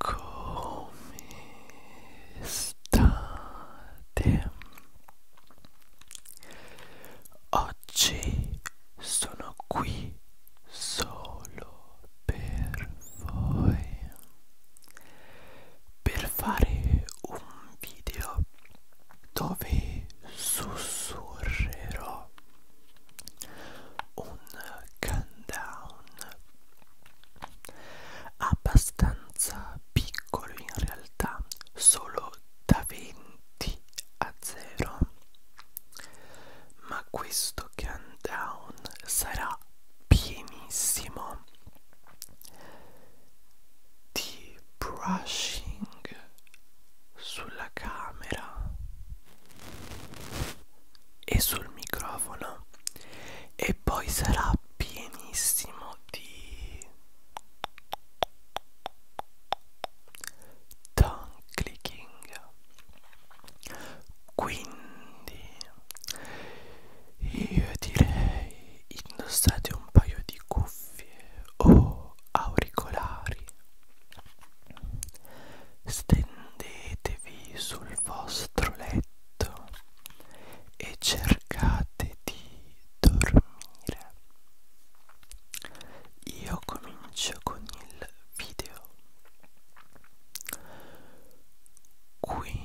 Come state? Oggi sono qui solo per voi per fare un video dove sussurrerò un countdown abbastanza piccolo in realtà solo da 20 a 0 ma questo countdown sarà pienissimo di brushing sulla camera e sul microfono e poi sarà pienissimo di tongue clicking quindi io direi indossate un paio di cuffie o auricolari stendete Fondetevi sul vostro letto e cercate di dormire. Io comincio con il video. Quindi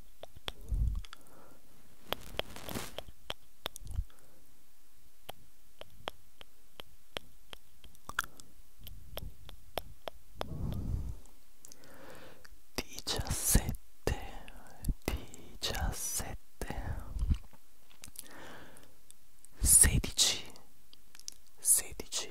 Diciassette, diciassette, sedici, sedici,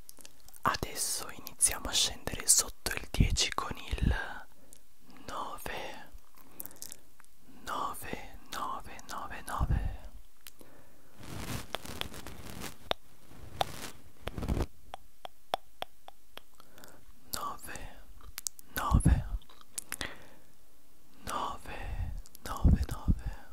Adesso iniziamo a scendere sotto il 10 con il 9 9 9 9 9 9 9 9 9 9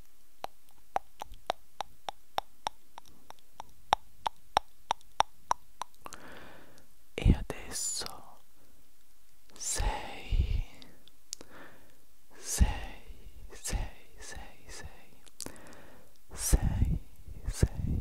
e adesso sei sei sei sei sei sei sei sei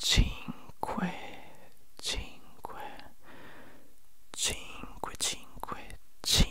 cinque cinque cinque cinque cinque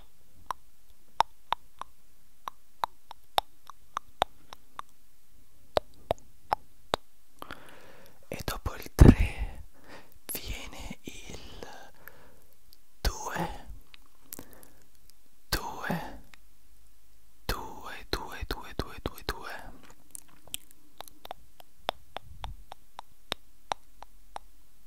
e dopo il 3 viene il 2 2 2 2 2 2 2 2 2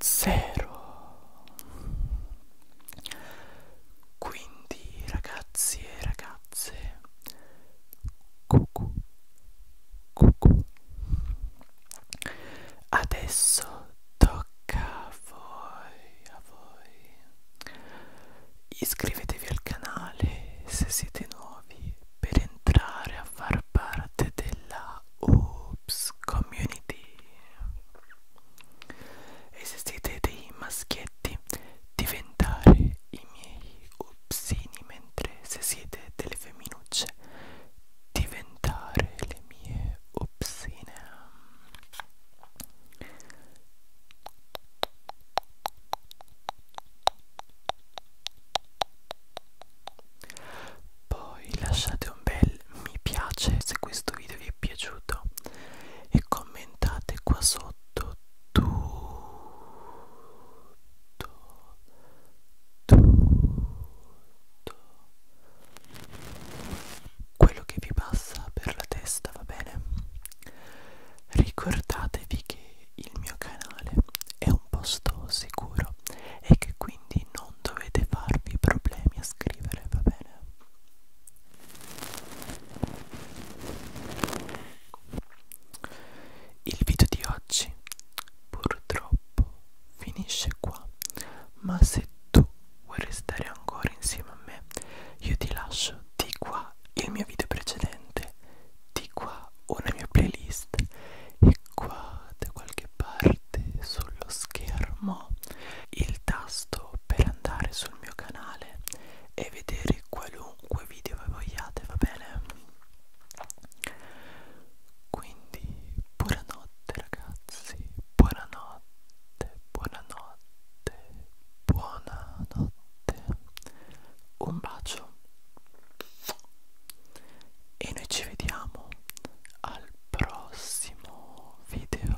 Zero. Quindi ragazzi e ragazze, cucù, cucù. Adesso do tocca a voi, a voi. Iscrivetevi al canale se siete nuovi per entrare a far parte della Oops Community. E se siete dei maschietti, diventare i miei upsini, mentre se siete delle femminucce diventare le mie opsine poi lasciate un bel mi piace se questo video vi è piaciuto e commentate qua sotto tutto tutto quello che vi passa per la testa, va bene? Ricordatevi che il mio canale è un posto sicuro e che quindi non dovete farvi problemi a scrivere, va bene? Il video di oggi purtroppo finisce qua, ma se tu vuoi restare ancora insieme a me, io ti lascio di qua il mio video precedente, di qua una mia playlist e qua da qualche parte sullo schermo il tasto per andare sul mio canale e vedere qualunque video voi vogliate, va bene? Quindi buonanotte ragazzi, buonanotte, buonanotte, buonanotte, un bacio e noi ci vediamo al prossimo video.